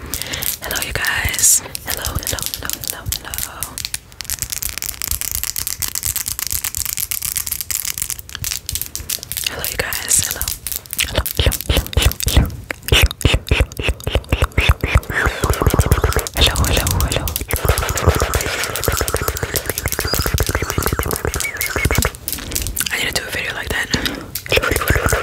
Hello, you guys. Hello, hello, hello, hello, hello. Hello, you guys. Hello. Hello, hello, hello. hello. I need to do a video like that. Hello, hello, hello,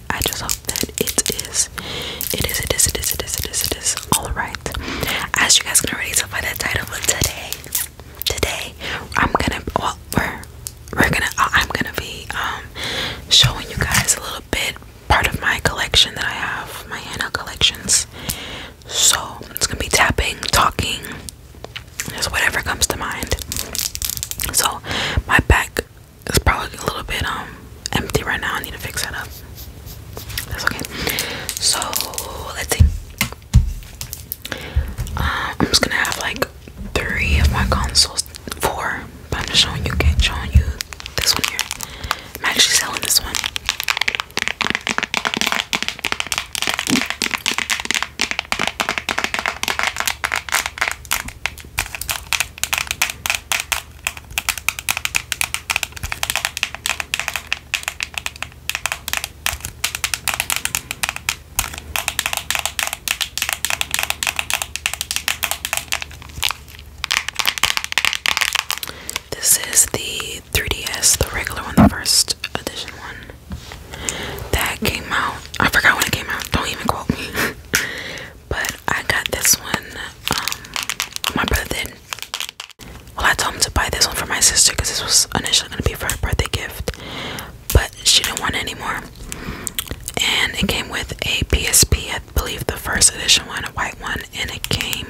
I just hope that it is, it is, it is, it is, it is, it is, it is, all right. As you guys can already tell by the title, but today, today, I'm gonna, well, we're, we're gonna, I'm gonna be um, showing you guys a little bit part of my collection that I have, my henna collections. So it's gonna be tapping, talking, just whatever comes to mind. So my bag it's probably a little bit um empty right now. I need to fix that up. That's okay. So let's see. Um, I'm just gonna have like three of my consoles, four. But I'm just showing you, okay, showing you this one here. I'm actually selling this one. This is the 3DS, the regular one, the first edition one that came out. I forgot when it came out. Don't even quote me. but I got this one. Um, my brother did. Well, I told him to buy this one for my sister because this was initially gonna be for her birthday gift, but she didn't want it anymore. And it came with a PSP, I believe the first edition one, a white one, and it came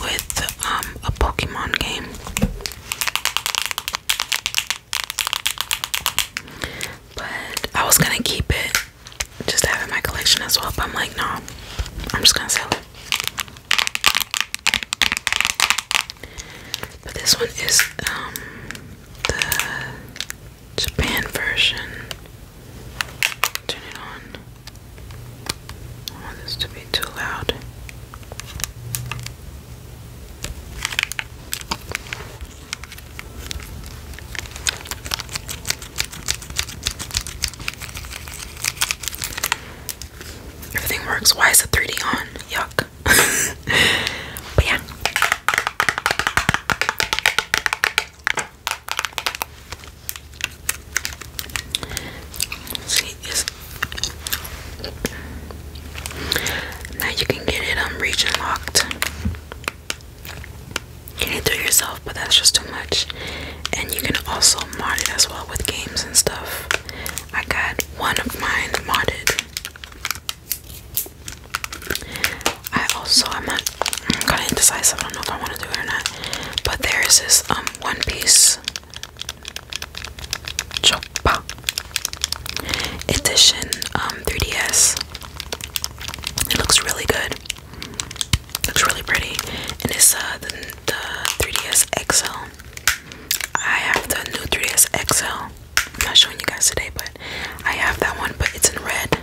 with um, a Pokemon game. But I was gonna keep it just to have in my collection as well, but I'm like, no, I'm just gonna sell it. But this one is um the Japan version. Turn it on. I don't want this to be too loud. Everything works. Why is the 3D on? Yuck. but yeah. See, is now you can get it um, region locked. You can do it yourself, but that's just too much. And you can also mod it as well with games and stuff. I got one of mine modded. I also I'm not gonna kinda I don't know if I wanna do it or not. But there is this um one piece Choppa edition 3DS. Um, it looks really good. Looks really pretty, and it's uh, the, the 3DS XL. I have the new 3DS XL. I'm not showing you guys today, but I have that one, but it's in red.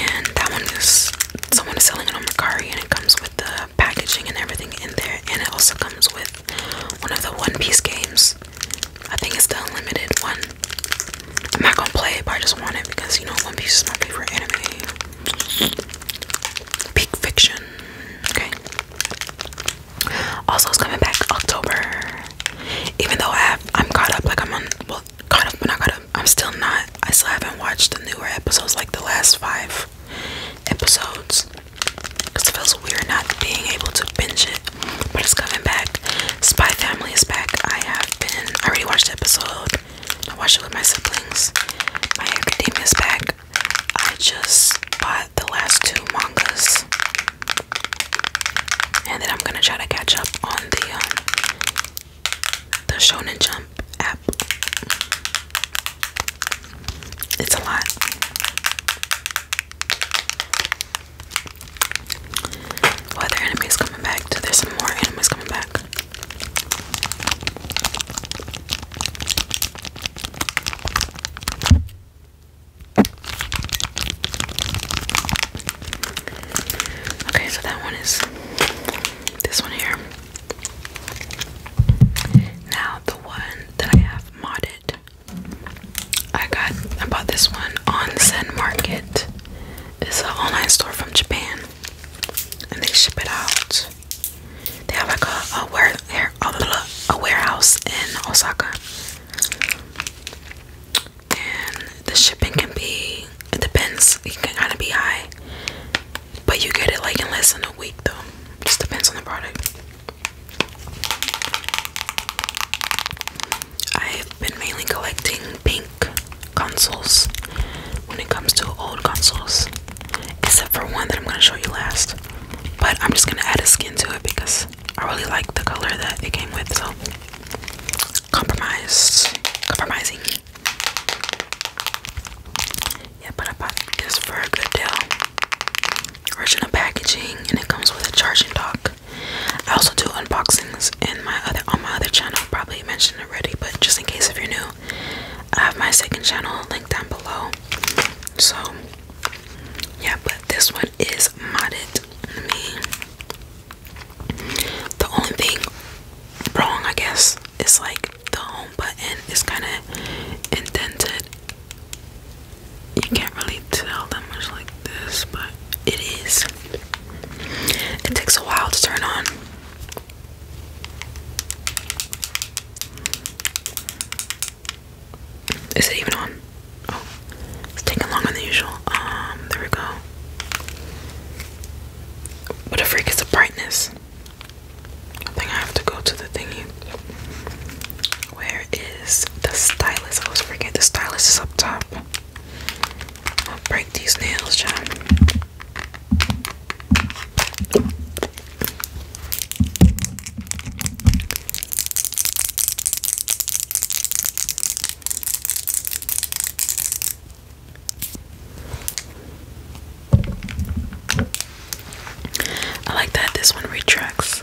And that one is someone is selling it on Mercari, and it comes with the packaging and everything in there, and it also comes with one of the One Piece games. I think it's the unlimited one. I'm not gonna play it, but I just want it because you know One Piece is my favorite anime. Peak Fiction. Okay. Also, it's coming back October. Even though I have, I'm caught up. Like I'm on, well, caught up, but not caught up. I'm still not. I still haven't watched the newer episodes, like the last five episodes because it feels weird not being able to binge it, but it's coming back. Spy Family is back. I have been, I already watched the episode, I watched it with my siblings. My Academia is back. I just bought the last two mangas, and then I'm gonna try to catch up on the um, the Shonen Jump app. It's a lot. Well, their enemies coming back. There's some more enemies coming back. Okay, so that one is this one here. Now the one that I have modded, I got I bought this one on Zen Market. It's an online store from Japan, and they ship it out. They have like a, a, ware, a warehouse in Osaka, and the shipping can be it depends. It can kind of be high. But you get it like in less than a week though. Just depends on the product. I've been mainly collecting pink consoles when it comes to old consoles. Except for one that I'm gonna show you last. But I'm just gonna add a skin to it because I really like the color that it came with, so compromise compromising. Yeah, but I bought this for a good deal. Original packaging, and it comes with a charging dock. I also do unboxings in my other on my other channel. Probably mentioned already, but just in case if you're new, I have my second channel linked down below. So yeah, but this one is modded. the only thing wrong, I guess, is like the home button is kind of indented. You can't really tell that much like this, but it is. It takes a while to turn on. Is it even on? Oh, it's taking longer than usual. Um, there we go. What a freak is the brightness. I think I have to go to the thingy. Where is the stylus? I was forget the stylus is up top. I'll break these nails, John. I like that this one retracts.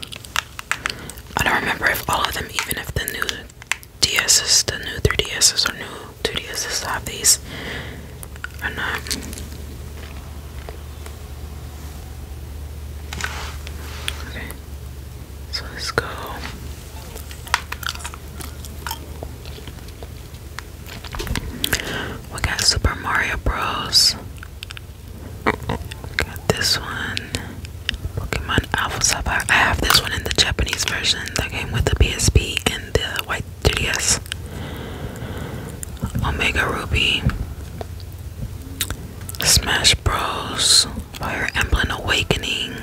I don't remember if all of them, even if the new DSs, the new 3DSs or new 2DSs have these or not. Okay, so let's go. We got Super Mario Bros. Got this one. Pokemon Alpha Sapphire. I have this one in the Japanese version that came with the PSP and the white 3DS. Omega Ruby. Smash Bros. Fire Emblem Awakening.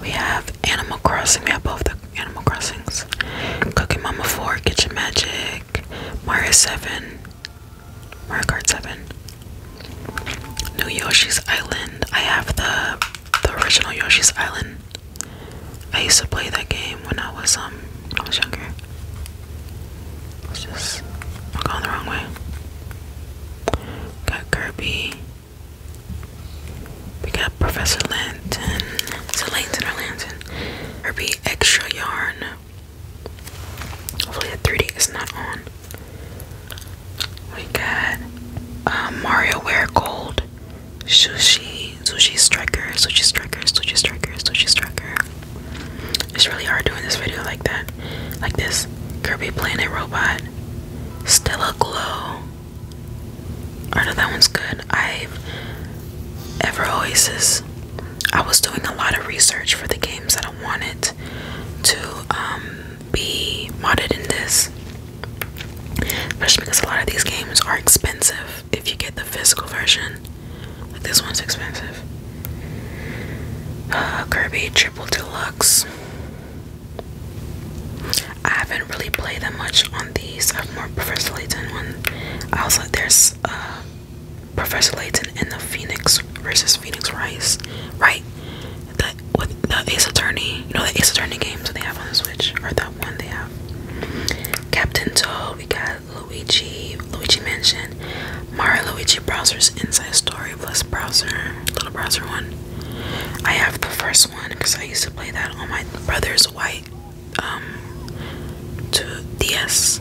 We have Animal Crossing. We have both the Animal Crossings. Cooking Mama 4, Kitchen Magic. Mario 7, Mario Kart 7, New Yoshi's Island. I have the the original Yoshi's Island. I used to play that game when I was um I was younger. Let's just going the wrong way. Got Kirby. We got Professor Lanton. Is it Lanton or or be extra yarn. Hopefully, the 3D is not on. We got uh, Mario Wear Gold, Sushi, Sushi Striker, Sushi Striker, Sushi Striker, Sushi Striker. It's really hard doing this video like that. Like this Kirby Planet Robot, Stella Glow. I know that one's good. I've ever Oasis. I was doing a lot of research for the games that I wanted to um, be modded in this, especially because a lot of these games are expensive if you get the physical version. Like this one's expensive. Kirby Triple Deluxe. I haven't really played that much on these. I've more preferred the one. also there's um, Professor Layton and the Phoenix versus Phoenix Rice, right? That with the Ace Attorney, you know the Ace Attorney games that they have on the Switch, or that one they have. Captain Toad, we got Luigi, Luigi mentioned Mario Luigi Browser's Inside Story plus Browser, little browser one. I have the first one because I used to play that on my brother's white um to DS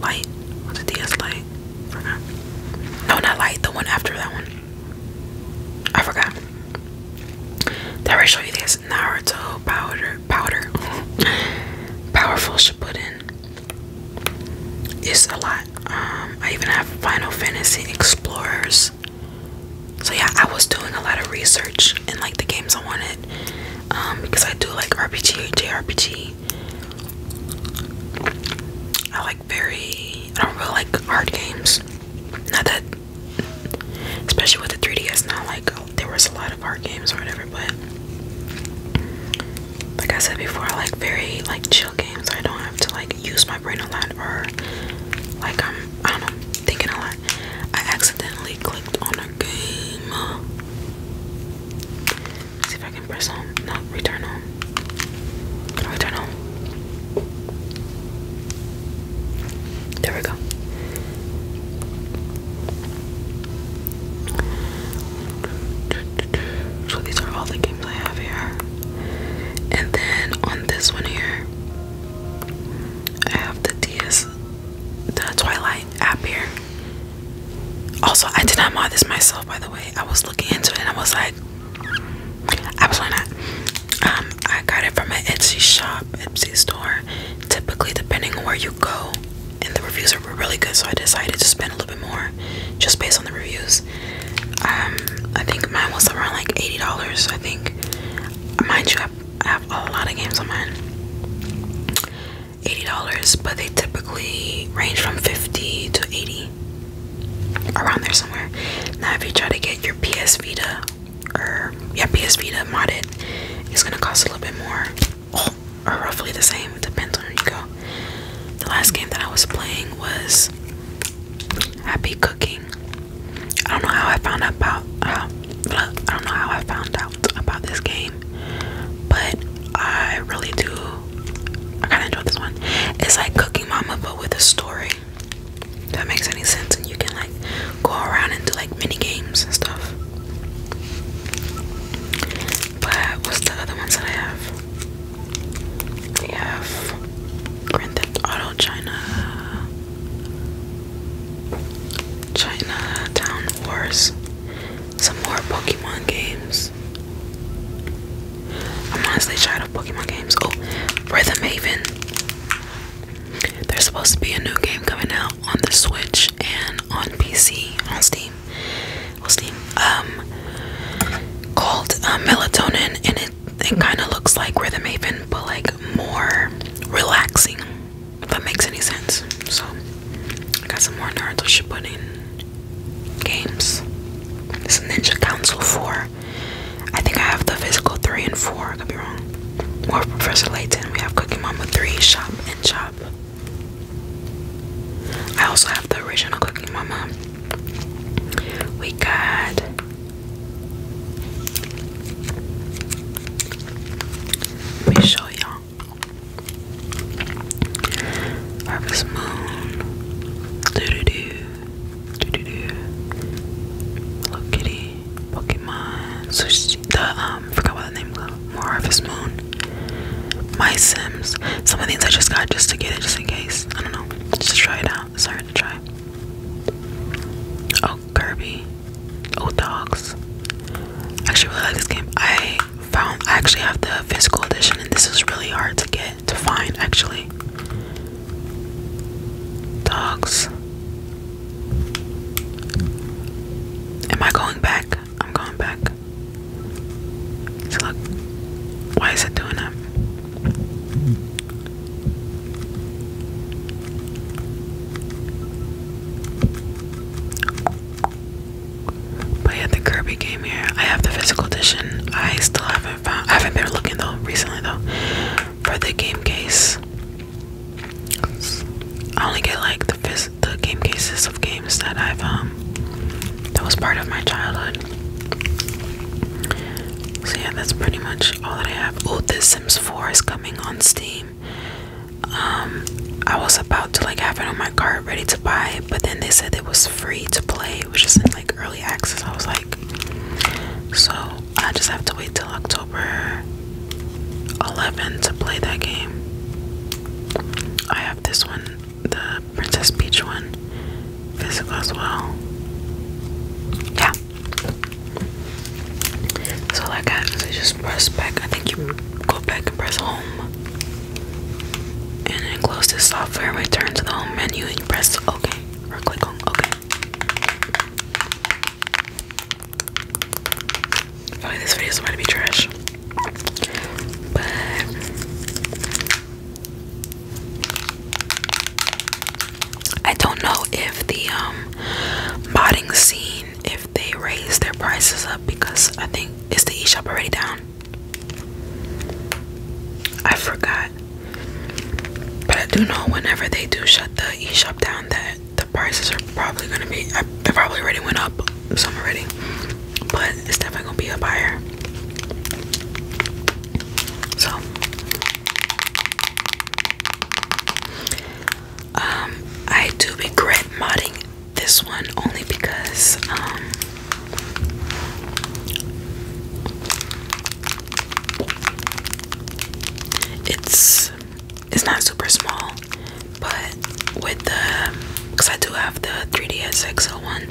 light. What's a DS light? No, not light. The one after that one. I forgot. That I show you this? Naruto powder powder. Powerful Shippuden. It's a lot. Um, I even have Final Fantasy Explorers. So yeah, I was doing a lot of research in like the games I wanted um, because I do like RPG, JRPG. I like very, I don't really like hard games. Not that, especially with the 3DS, not like oh, there was a lot of hard games or whatever, but like I said before, I like very like chill games. I don't have to like use my brain a lot or like I'm, I don't know, thinking a lot. I accidentally clicked on a game. see if I can press home. No, return home. return home? There we go. So these are all the games I have here. And then on this one here, I have the DS the Twilight app here. Also, I did not mod this myself, by the way. I was looking into it and I was like, absolutely not. Um, I got it from an Etsy shop, Etsy store. Typically, depending on where you go, and the reviews are really good, so I decided to spend a little bit more just based on the reviews. Um, I think mine was around like $80, I think. Mind you, I have a lot of games on mine. $80, but they typically range from 50 to 80 around there somewhere. Now if you try to get your PS Vita or yeah PS Vita modded, it's gonna cost a little bit more. or roughly the same, it depends on where you go. The last game that I was playing was Happy Cooking. I don't know how I found out I don't know how I found out about this game, but I really do. I kind of enjoy this one. It's like Cooking Mama, but with a story. that makes any sense, and you can like go around and do like mini games and stuff. But what's the other ones that I have? We have Grand Theft Auto China. China Town Wars. Some more Pokemon games. I'm honestly tired of Pokemon games. Oh, Rhythm Haven. There's supposed to be a new game coming out on the Switch and on PC on Steam. On Steam. Um called uh, melatonin and it it kind of looks like rhythm haven but like more relaxing if that makes any sense. So I got some more Naruto Shippuden games. This is Ninja Council 4. I think I have the physical 3 and 4, I could be wrong. More Professor Layton. We have Cookie Mama 3, Shop and Chop. I also have the original Cookie Mama. We got let me show y'all. Harvest Moon. Doo doo doo. Doo doo doo. Hello Kitty. Pokemon. Sushi. The, um, forgot what the name was. More Harvest Moon. My Sims. Some of the things I just got just to get it, just in case. I don't know. Just try it out. Sorry to try. Oh, Kirby. Oh, dogs. I actually really like this game. I found I actually have the physical edition, and this is really hard to get to find actually. Dogs. Am I going back? I'm going back. So look, why is it doing that? But the Kirby game here. I have the physical edition. I still haven't found. I haven't been looking though recently though for the game case. I only get like the phys the game cases of games that I've um that was part of my childhood. So yeah, that's pretty much all that I have. Oh, The Sims 4 is coming on Steam. Um, I was about to like have it on my cart ready to buy but then they said it was free to play, which is in like early access. I was like, so I just have to wait till October 11 to play that game. I have this one, the Princess Peach one, physical as well. Yeah. So I got I just press back. I think you go back and press home. And then close this software and return to the home menu and you press OK or click on OK. Okay, this video is about to be trash. But I don't know if the um modding scene, if if they raise their prices up because I think is the e-shop already down. I forgot. But I do know whenever they do shut the e-shop down that the prices are probably gonna be they probably already went up some already. But it's definitely gonna be a buyer. So um, I do regret modding this one only because um it's it's not super small, but with the because I do have the 3ds XL one,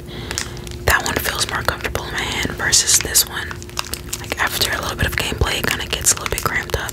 that one feels more comfortable in my hand versus this one. Like after a little bit of gameplay, it kind of gets a little bit cramped up.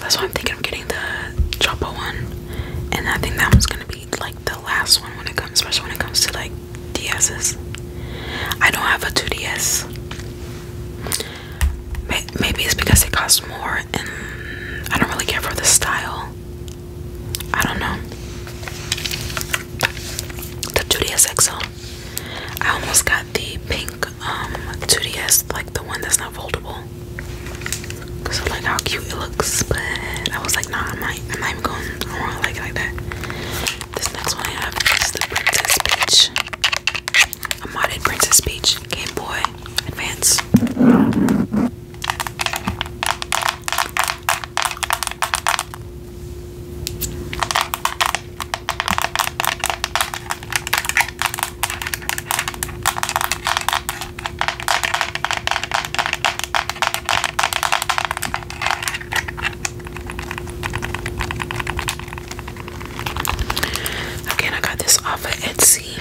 that's why I'm thinking of getting the Choppa one. And I think that one's gonna be like the last one when it comes, especially when it comes to like DS's. I don't have a 2DS. Maybe it's because it costs more and I don't really care for the style. I don't know. The 2DS XL. I almost got the pink 2DS, um, like the one that's not foldable. Cause like how cute it looks, but I was like, nah, I'm not, even going. I like that. This next one I have the Princess Peach, a modded Princess Peach Game Boy Advance. Again, I got this off of Etsy.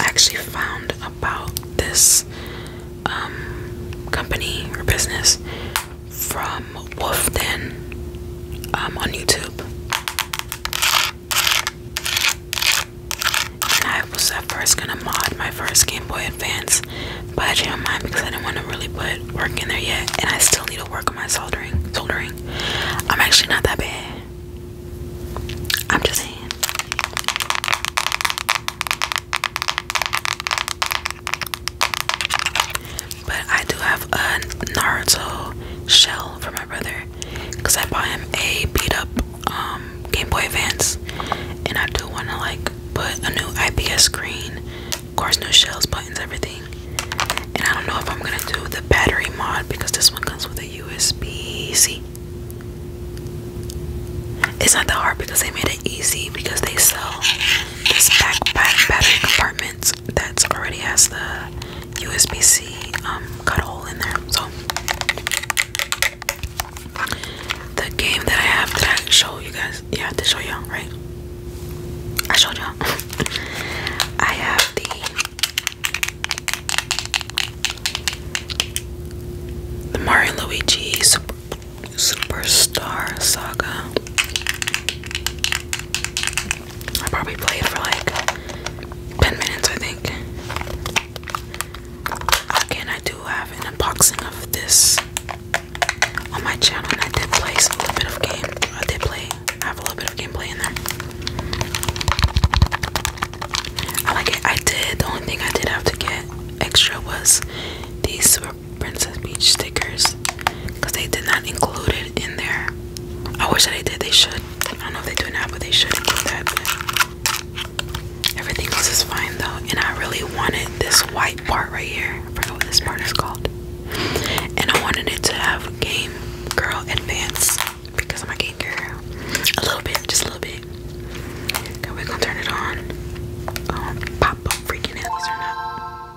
I actually found about this um, company or business from Wolfden um, on YouTube. I was at first gonna mod my first Game Boy Advance, but I changed my mind because I didn't want to really put work in there yet, and I still need to work on my soldering. Soldering. I'm actually not that bad. I'm just saying. But I do have a Naruto shell for my brother because I bought him a beat up um, Game Boy Advance, and I do want to like put a new IPS screen, of course, new shells, buttons, everything. And I don't know if I'm gonna do the battery mod because this one comes with a USB C. It's not that hard because they made it easy because they sell this backpack battery compartment that's already has the USB-C um, cut hole in there. So the game that I have that I show you guys, yeah, to show y'all, right? I showed y'all. I have the the Mario Luigi Super, Superstar Saga. I probably played for like 10 minutes, I think. Again, I do have an unboxing of this on my channel, and I did play some little bit of game. I did play, I have a little bit of gameplay in there. I like it. I did, the only thing I did have to get extra was these Princess Beach stickers because they did not include it in there. I wish they did. They should. I don't know if they do now, but they should include that. But everything else is fine though, and I really wanted this white part right here. I forgot what this part is called. And I wanted it to have Game Girl Advance because I'm a Game Girl. A little bit, just a little bit. Okay, we gonna turn it on. Um, pop up freaking headless or not.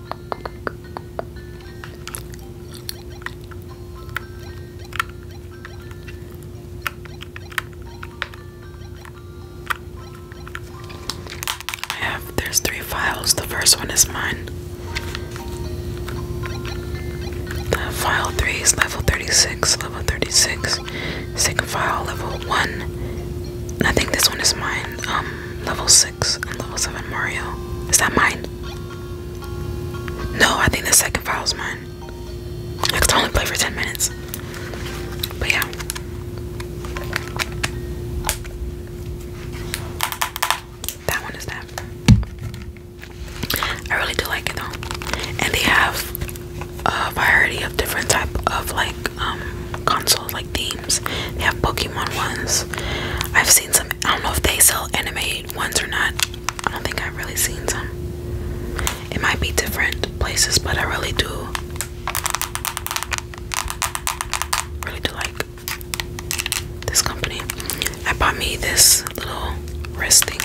I have there's three files. The first one is mine. file 3 is level 36, level 36. Second file level 1. I think this one is mine. Um level level seven Mario. Is that mine? No, I think the second file is mine. I could only play for 10 minutes. But yeah. That one is that. I really do like it though. And they have a variety of different type of like um console like themes. They have Pokemon ones. I've seen some I don't know if they sell anime ones or not. I don't think I've really seen some. It might be different places, but I really do really like this company. I bought me this little wrist thing.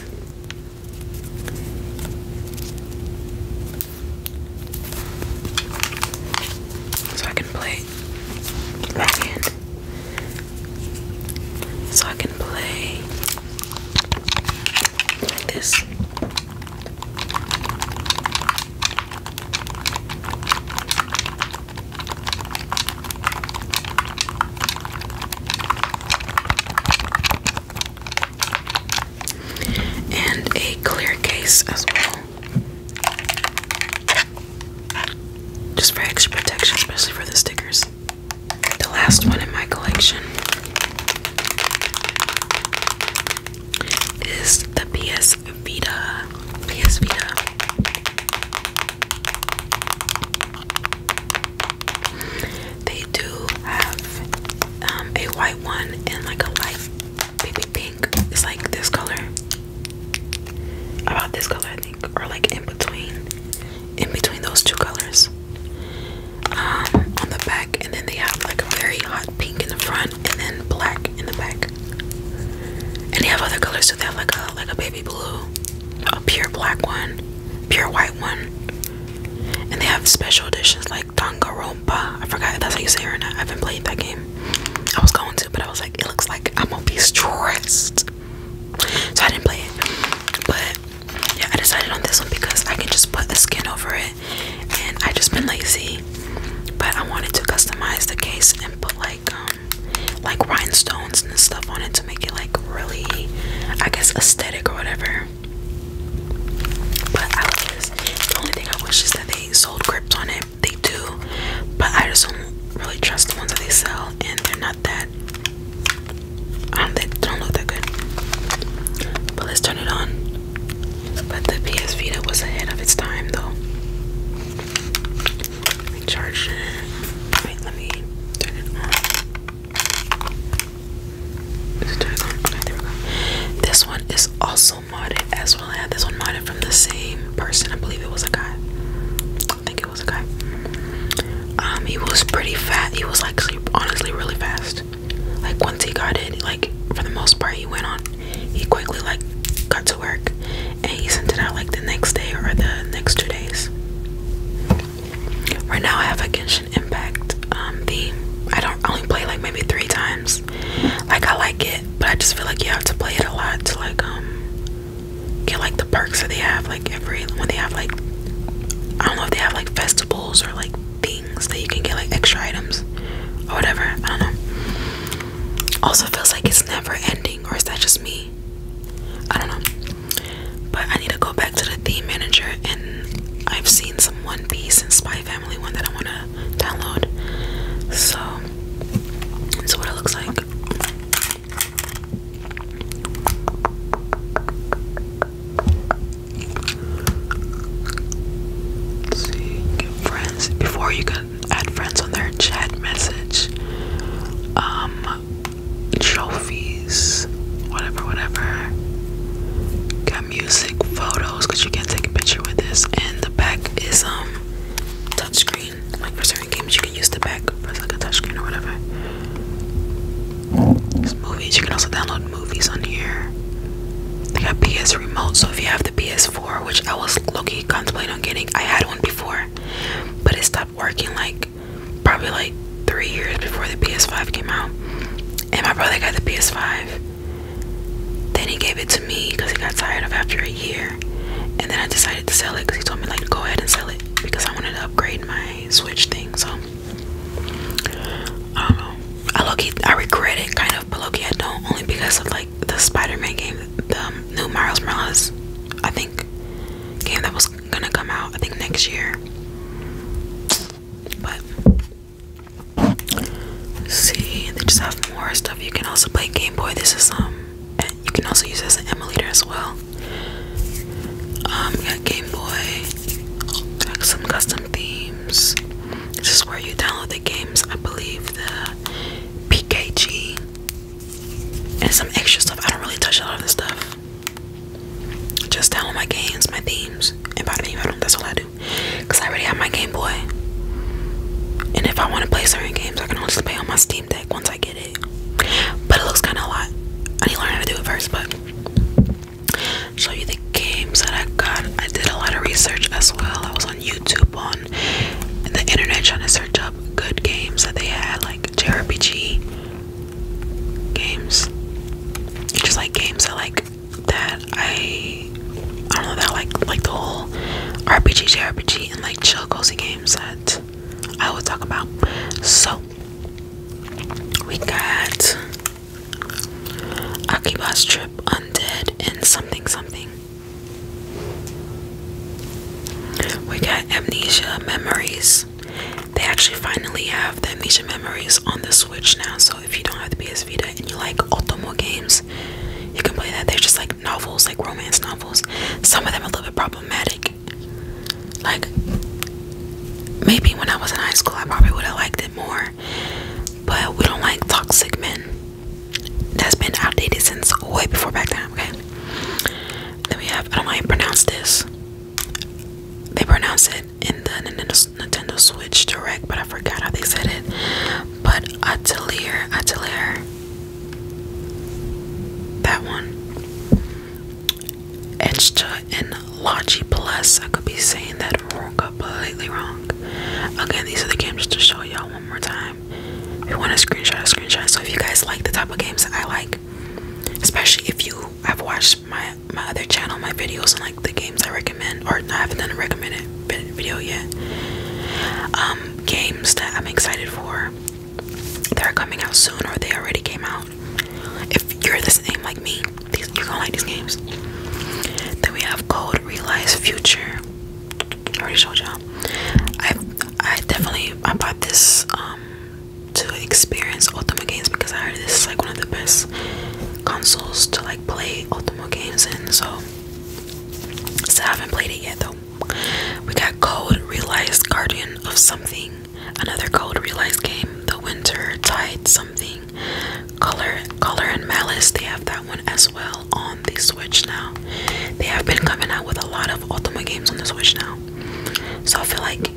So I can play that hand. So I can play like this. And a clear case as well. Just for extra protection, especially for the stickers. The last one in my collection is the PS Vita. PS Vita. They do have um, a white one and like a light baby pink. is like this color. About this color, I think, or like in between, in between those two colors. Um, on the back, and then they have like a very hot pink in the front, and then black in the back. And they have other colors too. They have like a like a baby blue, a pure black one, pure white one, and they have special editions like Tonga Champa. I forgot that's how you say it. or not. I haven't played that game. I was going to, but I was like, it looks like I'm gonna be stressed. So I didn't play it. But yeah, I decided on this one because I can just put a skin over it. And I just been lazy. But I wanted to customize the case and put like um like rhinestones and stuff on it to make it like really I guess aesthetic or whatever. But I love The only thing I wish is that they sold grips on it they do, but I just don't really trust the ones that they sell, and they're not that. Um, they don't look that good. But let's turn it on. But the PS Vita was ahead of its time, though. charge it. let me turn it on. This one is awesome also modded as well. I had this one modded from the same person. I believe it was a guy. I think it was a guy. Um, he was pretty fat. He was like honestly really fast. Like once he got it, like for the most part, he went on. He quickly like got to work, and he sent it out like the next day or the next two days. Right now, I have a Genshin Impact um, the I don't only play like maybe three times like I like it, but I just feel like you have to play it a lot to like um, get like the perks that they have like every when they have like I don't know if they have like festivals or like things that you can get like extra items or whatever. I don't know. Also feels like it's never ending or is that just me? I don't know. But I need to go back to the theme manager and I've seen some One Piece and Spy family one that I want to download. So, this is what it looks like. see, friends. Before you can add friends on their chat message, um, trophies, whatever, whatever. Got music, photos, because you can take a picture with this, and back is um touchscreen. Like for certain games, you can use the back as like a touchscreen or whatever. movies. You can also download movies on here. They got PS remote, so if you have the PS4, which I was low contemplating on getting, I had one before, but it stopped working like probably like three years before the PS5 came out. And my brother got the PS5, then he gave it to me because he got tired of after a year. And then I decided to sell it because he told me like go ahead and sell it because I wanted to upgrade my Switch thing. So I don't know. I look, I regret it kind of, but look, I don't only because of like the Spider-Man game, the um, new Miles Morales, I think game that was gonna come out I think next year. But See, they just have more stuff. You can also play Game Boy. This is um, and you can also use as an emulator as well. Um, you got Game Boy, like some custom themes. This is where you download the games. I believe the PKG and some extra stuff. I don't really touch a lot of this stuff. Just download my games, my themes, and by the name I do That's all I do because I already have my Game Boy. And if I want to play certain games, I can only play on my Steam Deck once I get it. But it looks kind of a lot. I need to learn how to do it first, but show you the games that I got. I did a lot of research as well. I was on YouTube, on the internet, trying to search up good games that they had, like JRPG games. Just like games that like that I I don't know that like like the whole RPG JRPG and like chill cozy games that I will talk about. So we got Akiba's Trip Undead and something something. We got Amnesia Memories. They actually finally have Amnesia Memories on the Switch now, so if you don't have the PS Vita and you like Otomo games, you can play that. They're just like novels, like romance novels. Some of them are a little bit problematic. Like maybe when I was in high school I probably would have liked it more. But we don't like toxic men. That's been outdated since way before back then, okay? Then we have I don't pronounce this. They pronounce it in the Nintendo Switch Direct, but I forgot how they said it. But Atelier, Atelier, that one. Extra and Logi Plus. I could be saying that wrong, completely wrong. Again, these are the games to show y'all one more time. If you want a screenshot, a screenshot. So if you guys like the type of games I like, especially if you i have watched my my other channel, my videos and like the games I recommend, or I haven't done a recommended video yet. Um, games that I'm excited for that are coming out soon, or they already came out. If you're the same like me, you're gonna like these games. Then we have Code, Realize Future. I already showed y'all. I I definitely I bought this um to experience Ultima games because I heard this is like one of the best consoles to like play Ultima games in. So so I haven't played it yet though. We got Code Realized Guardian of Something. Another Code Realized game. The Winter Tide Something. Color Color and Malice. They have that one as well on the Switch now. They have been coming out with a lot of Ultima games on the Switch now. So I feel like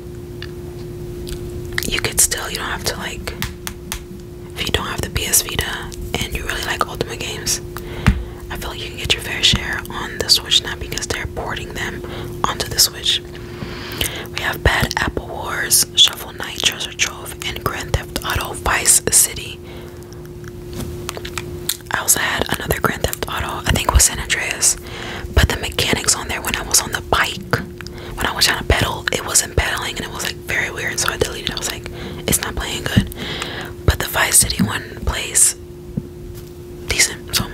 you could still you don't have to like if you don't have the PS Vita and you really like Ultimate games, I feel like you can get your fair share on the Switch now because they're porting them onto the Switch. We have Bad Apple Wars, Shuffle Knight, Treasure Trove, and Grand Theft Auto Vice City. I also had another Grand Theft Auto, I think was San Andreas, Put the mechanics on there when I was on the bike, when I was trying to pedal, it wasn't pedaling and it was like very weird, so I deleted it. I was like, it's not playing good. But the Vice City one plays decent. So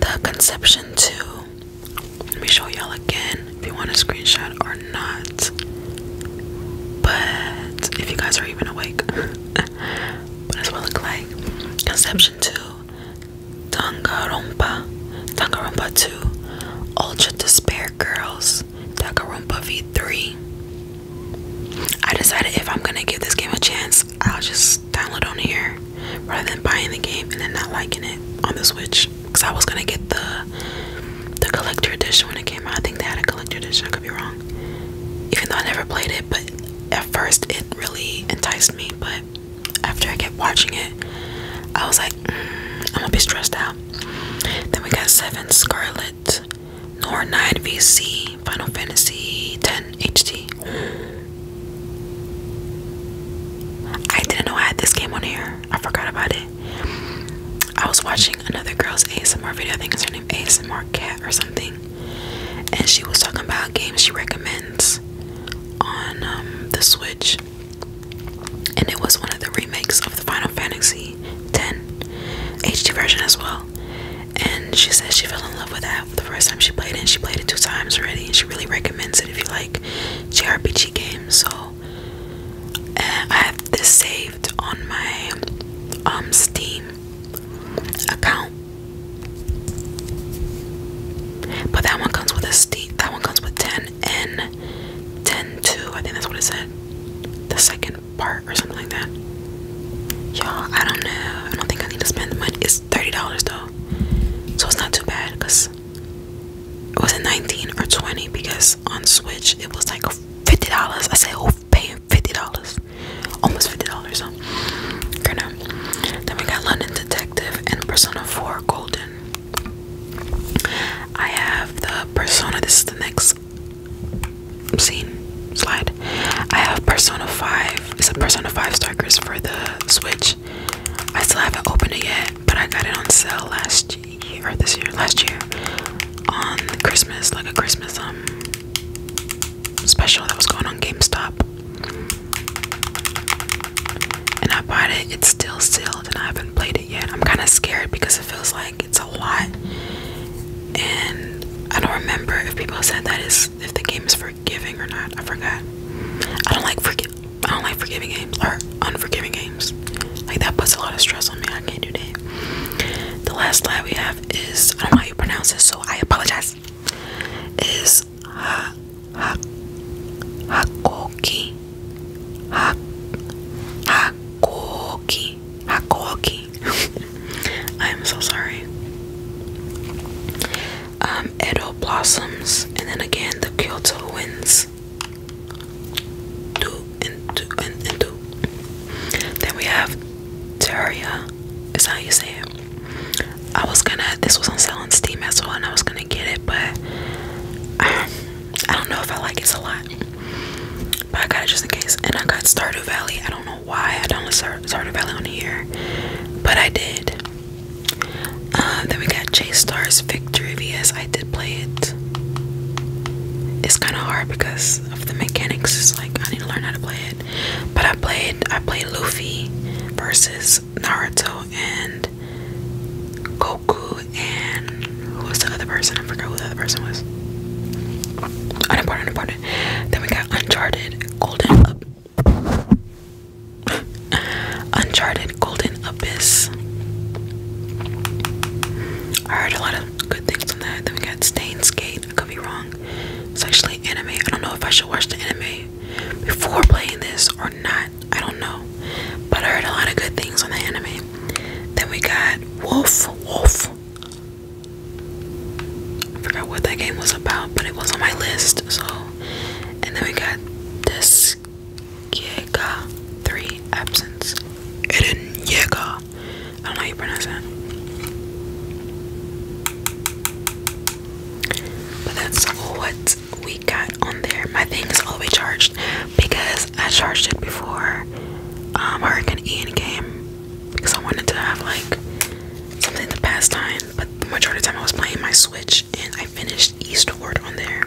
the Conception 2. Let me show y'all again if you want a screenshot or not. But if you guys are even awake, but that's it look like. Conception 2. Dangarompa Danganronpa 2, Ultra Despair Girls, Danganronpa V3. I decided if I'm gonna give this game a chance, I'll just download on here rather than buying the game and then not liking it on the Switch. Cause I was gonna get the the collector edition when it came out. I think they had a collector edition. I could be wrong. Even though I never played it, but at first it really enticed me. But after I kept watching it, I was like, I'm gonna be stressed out. Then we got Seven Scarlet, Nor 9 VC, Final Fantasy 10 HD. I didn't know I had this game on here. I forgot about it. I was watching another girl's ASMR video. I think it's her name ASMR Cat or something. And she was talking about games she recommends on um, the Switch. Switch, and it was one of the remakes of the Final Fantasy X HD version as well. And she said she fell in love with that the first time she played it, and she played it two times already, and she really recommends it if you like JRPG games. So uh, I have this saved on my um Steam account. But that one comes with a steam that one comes with 10 then in 10 2, I think that's what it said, the second part or something like that. Y'all, I don't know. I don't think I need to spend the money. It's $30 though, so it's not too bad because it was a 19 or 20 because on Switch it was like $50. I said, Oh, paying $50, almost $50. So, you know. Then we got London Detective and Persona 4 Golden. I have the Persona. This is the next scene slide. I have Persona 5. It's a Persona 5 Strikers for the Switch. I still haven't opened it yet, but I got it on sale last year or this year, last year on Christmas, like a Christmas um special that was going on GameStop and I bought it. It's still sealed, and I haven't played it yet. I'm kind of scared because it feels like it's a lot, and I don't remember if people said that is if the game is forgiving or not. I forgot. I don't like forgive. I don't like forgiving games or unforgiving games. Like that puts a lot of stress on me. I can't do that. The last slide we have is I don't know how you pronounce this, so I apologize. Is ha ha hakoki ha hakoki I am so sorry um, Edo blossoms and then again the Kyoto winds and then we have Terraria is how you say it I was gonna this was on sale on Steam as well and I was gonna get it but um, I don't know if I like it a lot, but I got it just in case. And I got Stardew Valley. I don't know why I don't Star Stardew Valley on here, but I did. Uh, then we got J Stars Victory VS. I did play it. It's kind of hard because of the mechanics. It's like I need to learn how to play it. But I played. I played Luffy versus Naruto and. Go and who was the other person? I forgot who the other person was. Unimportant, unimportant. Then we got Uncharted Golden Up Uncharted Golden Abyss. I heard a lot of good things on that. Then we got Stains Gate. I could be wrong. It's actually anime. I don't know if I should watch the anime before playing this or not. I don't know. But I heard a lot of good things on the anime. Then we got Wolf Wolf. I forgot what that game was about, but it was on my list, so and then we got this Giga 3 absence. Eden Yega. I don't know how you pronounce that. But that's what we got on there, my thing is always charged because I charged it before um, Hurricane because I wanted to have like something to pass time. But the majority of the time I was playing my Switch and I finished Eastward on there.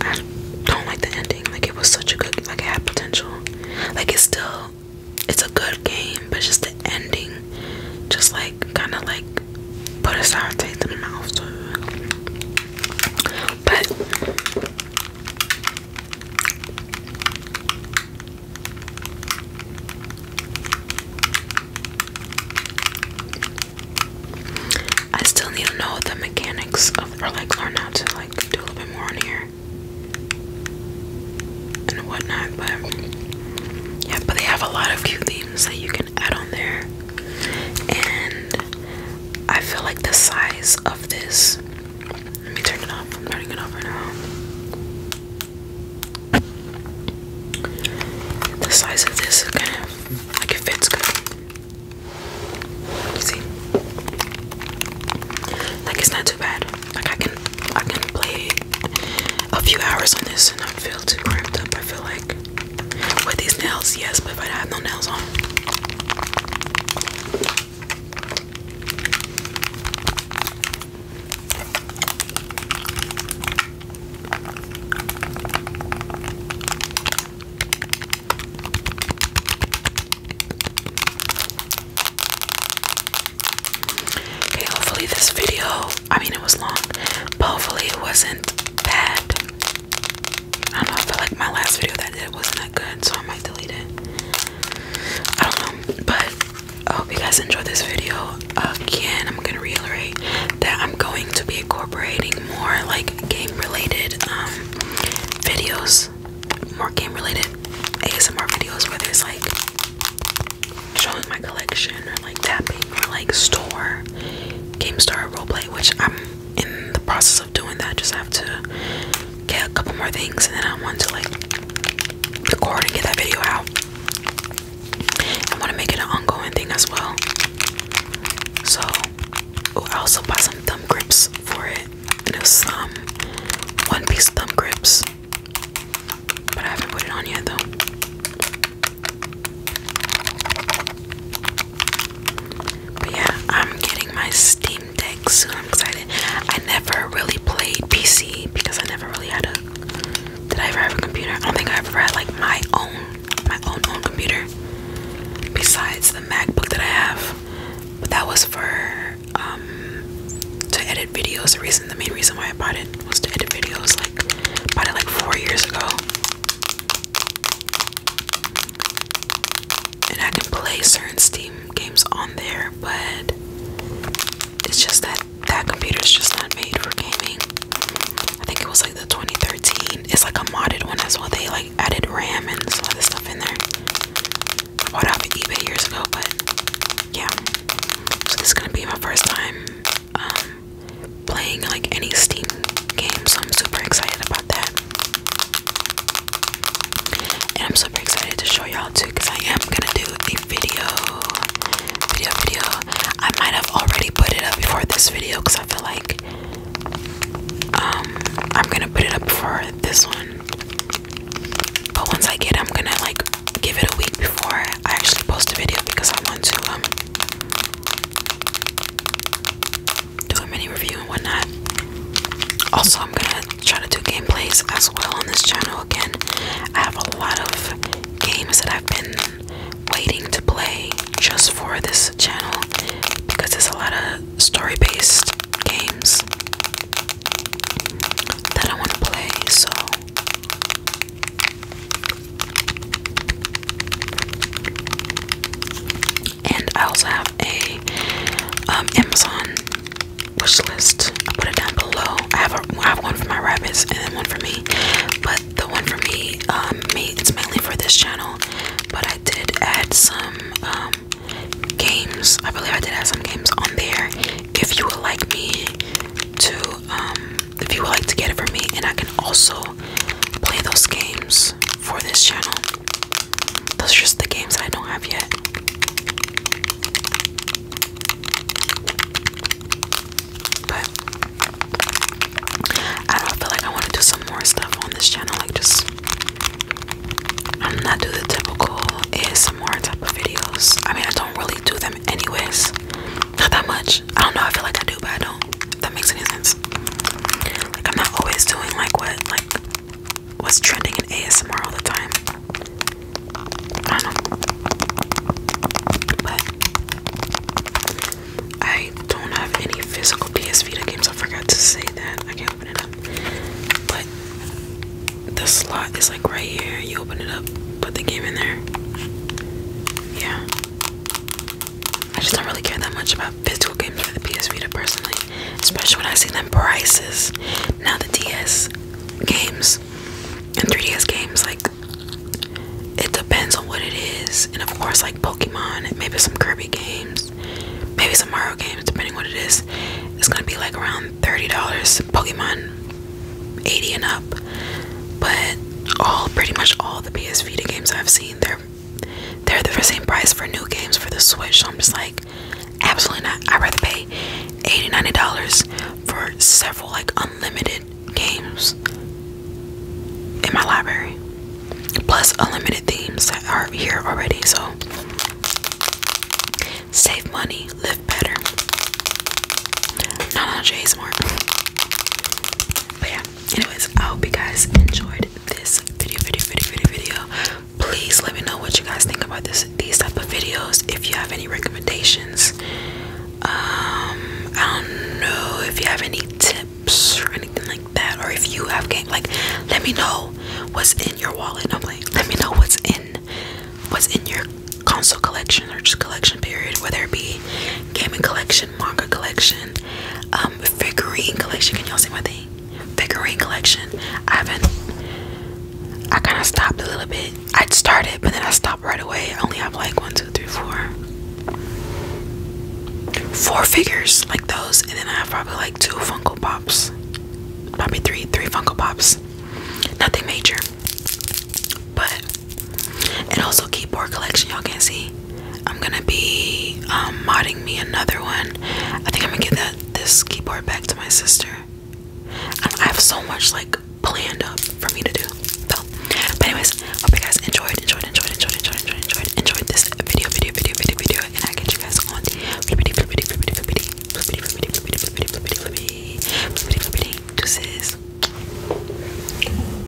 I don't like the ending. Like it was such a good, like had potential. Like it's still, it's a good game, but just the ending, just like kind of like put a sour taste in my mouth too. But I still need to know the mechanics of like learn how to like do a little bit more on here and whatnot, but yeah, but they have a lot of cute themes that you can add on there. And I feel like the size of this. Let me turn it off. I'm turning it off right now. The size of this is kind of like it fits good. You see? Like it's not too bad. Like I can I can play a few hours on this and not feel too cramped up. I feel like with these nails, yes, but if I have no nails on. Okay, hopefully this video, I mean it was long, hopefully it wasn't bad. I don't know, I felt like my last video that I did wasn't that good, so I might delete it. I don't know, but I hope you guys enjoyed this video. Again, I'm gonna reiterate that I'm going to be incorporating more like game related um, videos, more game related ASMR videos, where there's like showing my collection or like tapping or like store, game store roleplay, which I'm in the process of doing that, I just have to get a couple more things, and then I want to like record and get that video out. I want to make it an ongoing thing as well. So, oh, I also bought some thumb grips for it, and it some one piece thumb grips, but I haven't put it on yet though. But yeah, I'm getting my Steam Deck soon. I'm excited. I never really played PC because I never really had a. Did I ever have a computer? I don't think I ever had like my own, my own own computer. Besides the MacBook that I have, but that was for um to edit videos. The reason, the main reason why I bought it was to edit videos. Like bought it like four years ago and I can play certain Steam games on there, but it's just that that computer's just not made for gaming. I think it was like the 2013. It's like a modded one as well. They like added RAM and some other stuff in there. I bought off eBay years ago, but yeah. So this is gonna be my first time um, playing like any Steam game, so I'm super excited about that. And I'm super excited to show y'all too, cause I am gonna do a video, video, video. I might have already put it up before this video, cause I feel like um I'm gonna put it up before this one. But once I get, I'm gonna like give it a week before I actually post a video because I want to um do a mini review and whatnot. Also, I'm gonna try to do gameplays as well on this channel again. I have a lot of games that I've been waiting to play just for this channel because it's a lot of story based games that I want to play. So, and I also have a um, Amazon wish put it down below. I have a, I have one for my rabbits and then one for me. But the one for me, um, me it's mainly for this channel. But I did add some um, games. I believe I did add some games on there. If you would like me to um, if you would like to get it from me, and I can also play those games for this channel. Those are just the games that I don't have yet. But I don't feel like I want to do some more stuff on this channel, like just not do the typical ASMR type of videos. I mean I don't really do them anyways. Not that much. I don't know. I feel like I do, but I don't. If that makes any sense. Like I'm not always doing like what like what's trending in ASMR all the time. I don't But I don't have any physical PS games. I forgot to say that. I can't open it up. But the slot is like right here. You open it up, put the game in there. Yeah. I just don't really care that much about physical games for the PS Vita personally, especially when I see them prices. Now the DS games and 3DS games, like it depends on what it is, and of course, like Pokemon, maybe some Kirby games, maybe some Mario games, depending what it is. It's gonna be like around thirty dollars. Pokemon, eighty and up, but all pretty much all the PS Vita games I've seen, they're they're the same price for new games for the Switch. So I'm just like, absolutely not. I'd rather pay 80 90 dollars for several like unlimited games in my library. Plus unlimited themes that are here already, so save money, live better. Not on J Smart. But yeah anyways i hope you guys enjoyed this video video video video video please let me know what you guys think about this these type of videos if you have any recommendations um i don't know if you have any tips or anything like that or if you have game like let me know what's in your wallet i'm like let me know what's in what's in your console collection or just collection period whether it be gaming collection collection, collection, um, figurine collection. Can y'all see my thing? Figurine collection. I haven't. I kind of stopped a little bit. I'd started, but then I stopped right away. I only have like one, two, three, four, four figures like those, and then I have probably like two Funko Pops, probably three, three Funko Pops. Nothing major, but and also keyboard collection y'all can see i'm gonna be um, modding me another one i think i'm gonna give that this keyboard back to my sister um, i have so much like planned up for me to do so, but anyways hope you guys enjoyed enjoyed enjoyed enjoyed enjoyed enjoyed enjoyed enjoyed this video video video video video and i get you guys on the deuces